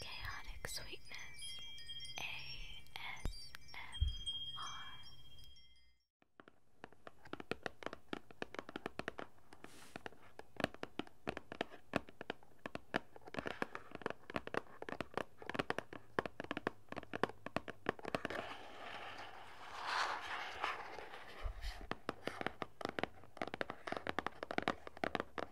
Chaotic Sweetness ASMR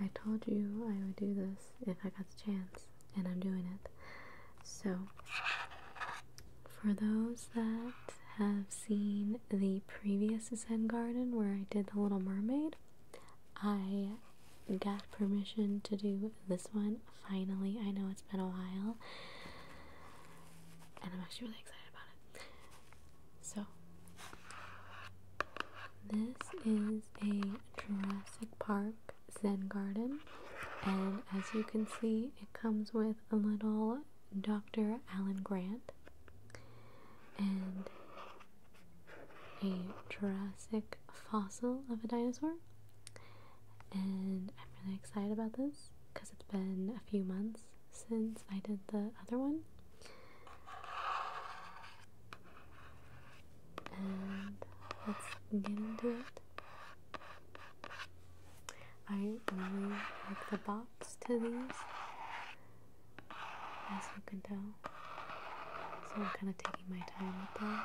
I told you I would do this if I got the chance, and I'm doing it. So, for those that have seen the previous Zen Garden where I did The Little Mermaid, I got permission to do this one finally. I know it's been a while, and I'm actually really excited about it. So, this is a Jurassic Park Zen Garden, and as you can see, it comes with a little Dr. Alan Grant and a Jurassic fossil of a dinosaur. And I'm really excited about this because it's been a few months since I did the other one. And let's get into it. I really like the box to these, as you can tell. So I'm kind of taking my time with that.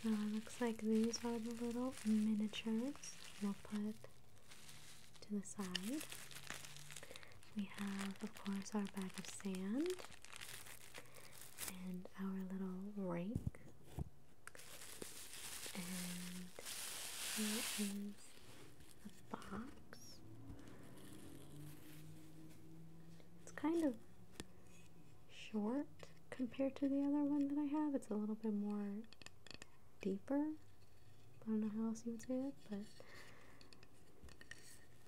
So it looks like these are the little miniatures we'll put to the side. We have, of course, our bag of sand and our little rake. And here is the box. It's kind of short compared to the other one that I have. It's a little bit more deeper. I don't know how else you would say it, but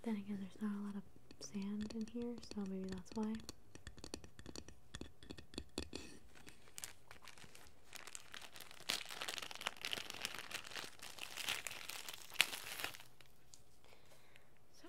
then again, there's not a lot of sand in here, so maybe that's why. So.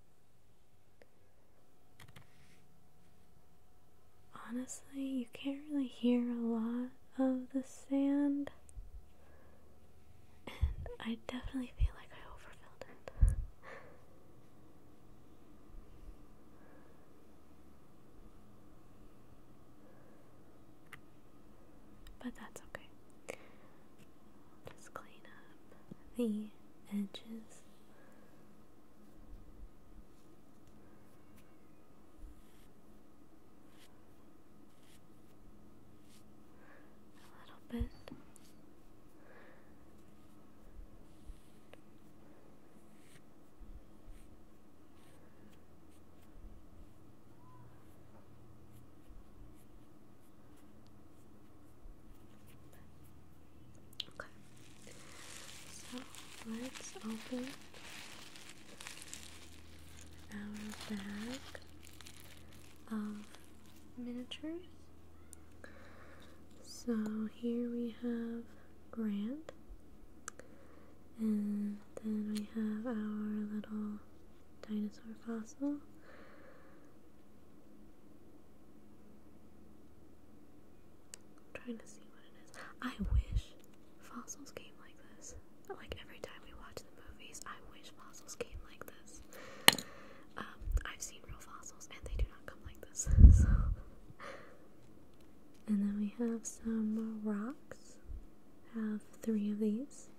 Honestly, you can't really hear a lot of the sand, and I definitely feel like I overfilled it. but that's okay. just clean up the edges a little bit. Okay. So let's open our bag of miniatures. So here we have Grand, and then we have our little dinosaur fossil, i trying to see what it is. I wish fossils came like this. Like every time we watch the movies, I wish fossils came like this. Um, I've seen real fossils and they do not come like this. and then we have some rocks. Have three of these.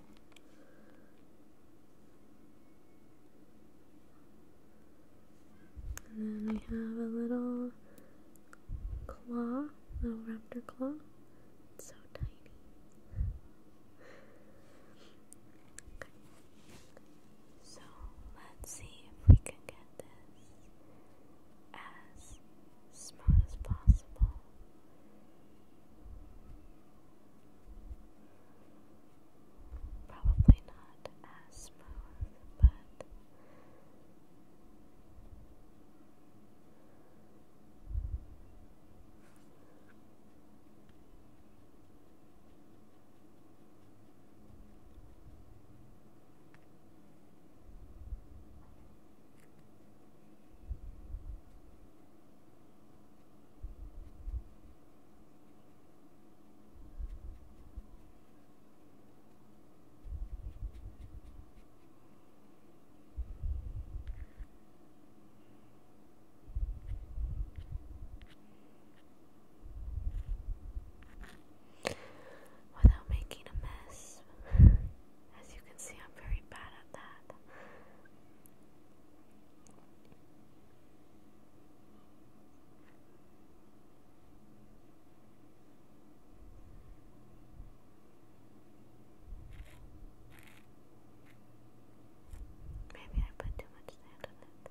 And then we have a little claw, little raptor claw. It's so tiny. Okay. So let's see if we can get this as smooth as possible. Probably not as smooth, but Without making a mess. As you can see, I'm very bad at that. Maybe I put too much sand on it.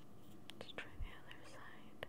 Let's try the other side.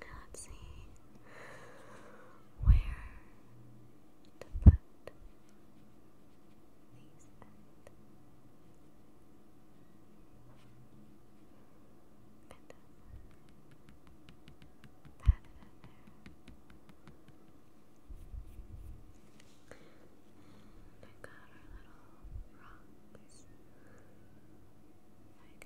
Let's see where to put these at. got our little rocks.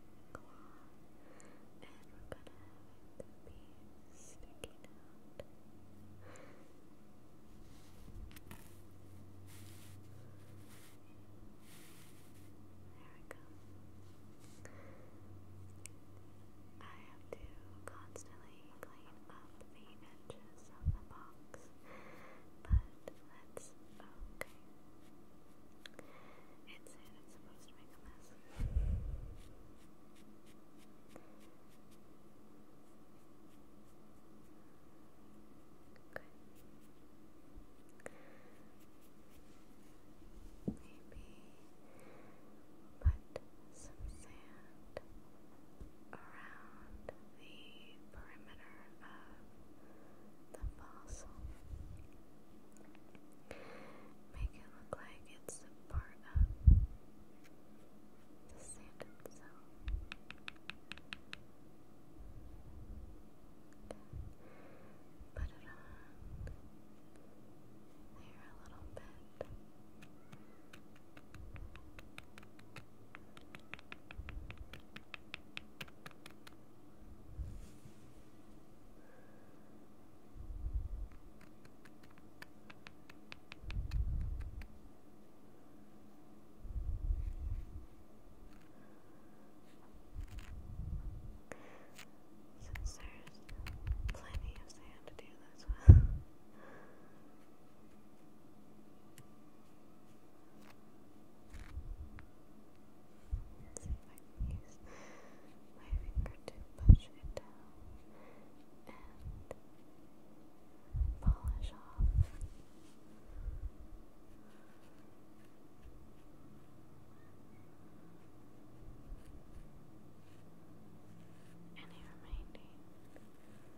claw, and we're gonna be sticking out. There we go. I have to constantly clean up the edges of the box, but that's okay. It's it, I'm supposed to make a mess. Okay. Maybe put some sand around the perimeter of the fossil. Make it look like it's a part of the sand itself. Put it there a little bit. Since there's plenty of sand to do this with. Let's if I use my finger to push it down and polish off. Any remaining sand.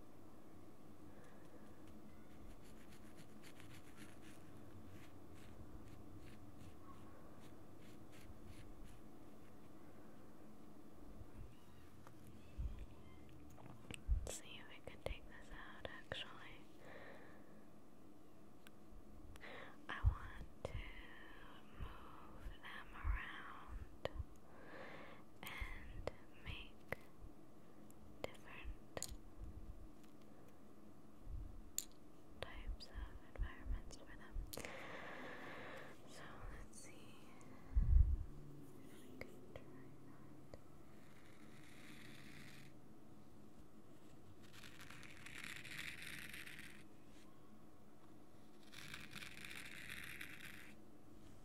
Let's see if we can take this out actually. I want to move them around and make different types of environments for them. So let's see if we can try that.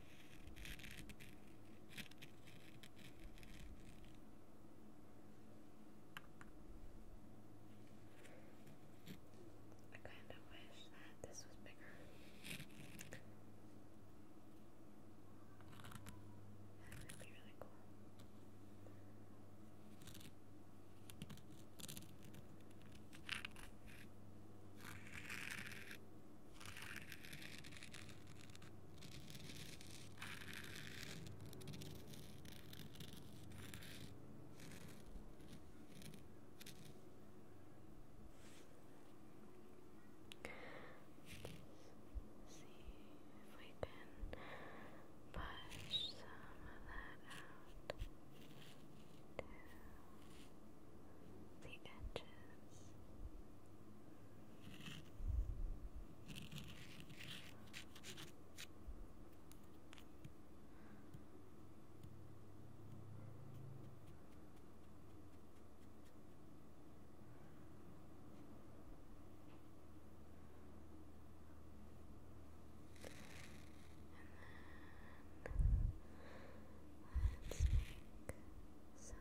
I kind of wish that this was bigger. That would be really cool. I if we can push some of that out. Two the edges. And then let's make so, mounds.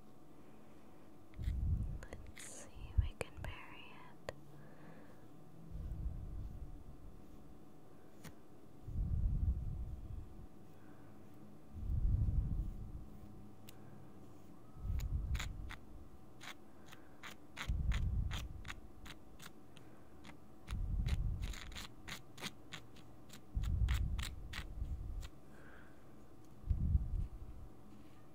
Let's see, if we can bury it.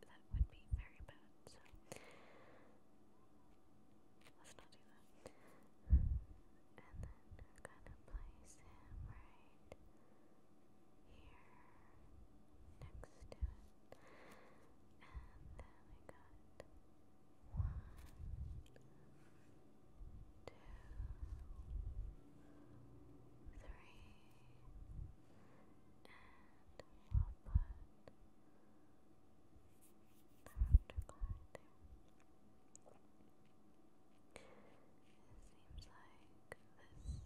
that would be very bad, so let's not do that. And then we're gonna place him right here next to it. And then we got one, two, three, seems like this is kind of the hardest to place down, but I think it's really cool because you can actually see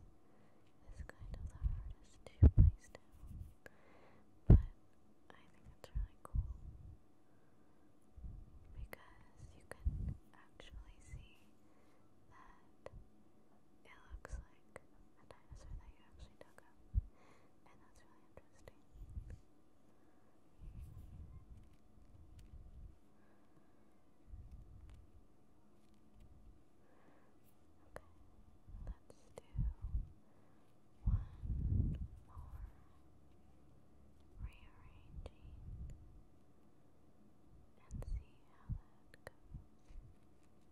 that it looks like that's really interesting. let's do one more rearranging and see how that goes.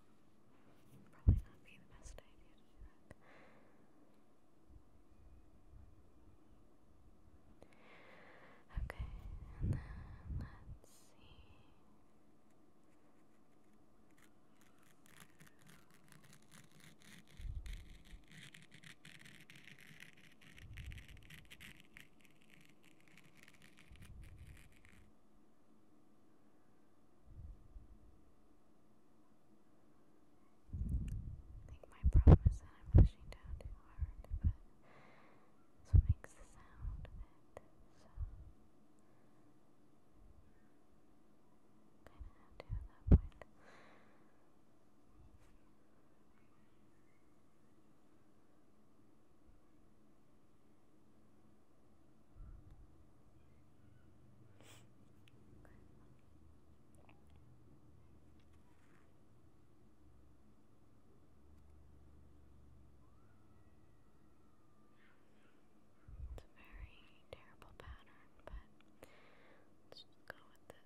Probably not be the best idea Okay, and then let's see. Okay. I think my problem is that I'm pushing down too hard, but that's what makes the sound kind of to that point. It's a very terrible pattern, but let's go with it.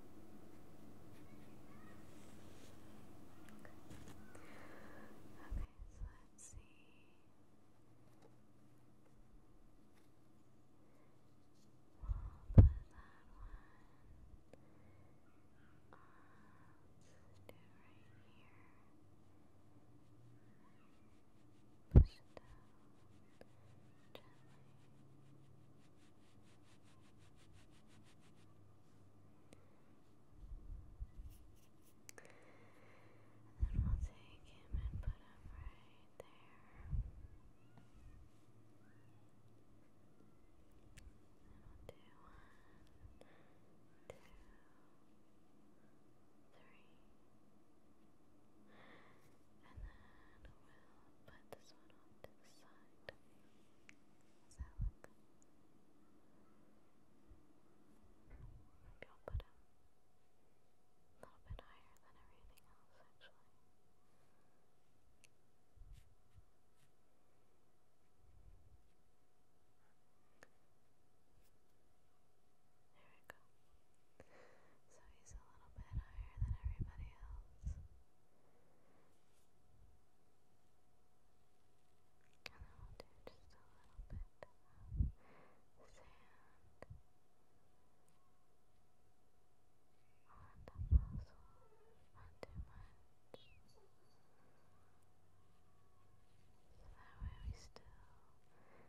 Okay, so let's see. put that one up to right here. Push it down and then we'll take him and put him right there. one, two, three. And then we'll put this one off the side salad. I'll put him a little bit higher than everything else, actually. There we go. So he's a little bit higher than everybody else. And then just a little bit sand on the puzzle, not too much. So that way we still can see it.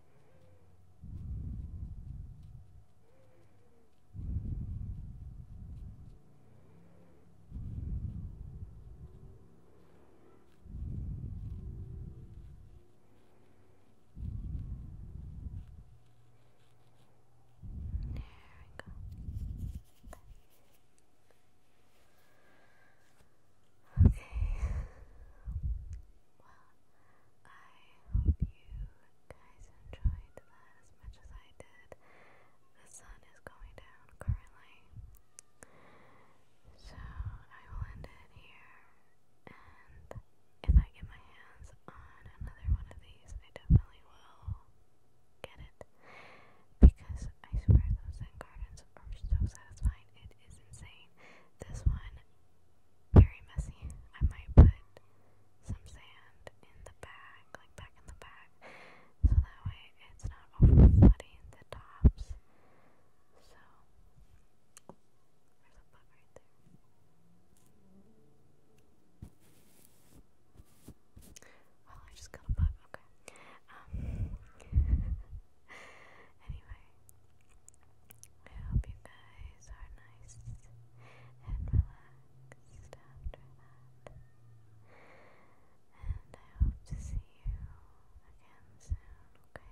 There we go. Okay. Wow, I hope you guys enjoyed that as much as I did. The sun is going down currently. So I will here. And if I get my hands on another one of these, I definitely will get it. Because I swear those Zen are so satisfying. It is insane. This one very messy. I might put some sand in the bag, like back in the bag, so that way it's not over flooding the tops. So, there's a bug right there. Well, I just got a bug, okay. Um, anyway, I hope you guys are nice and relaxed And I hope to see you again soon, okay? That's uh,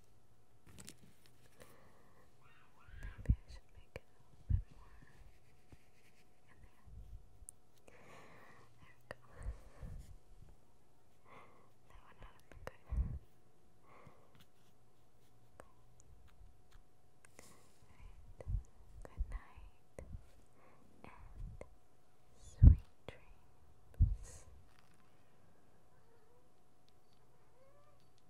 Maybe I should make it a little bit more there. we go. That would not have good. Good night. And sweet dreams.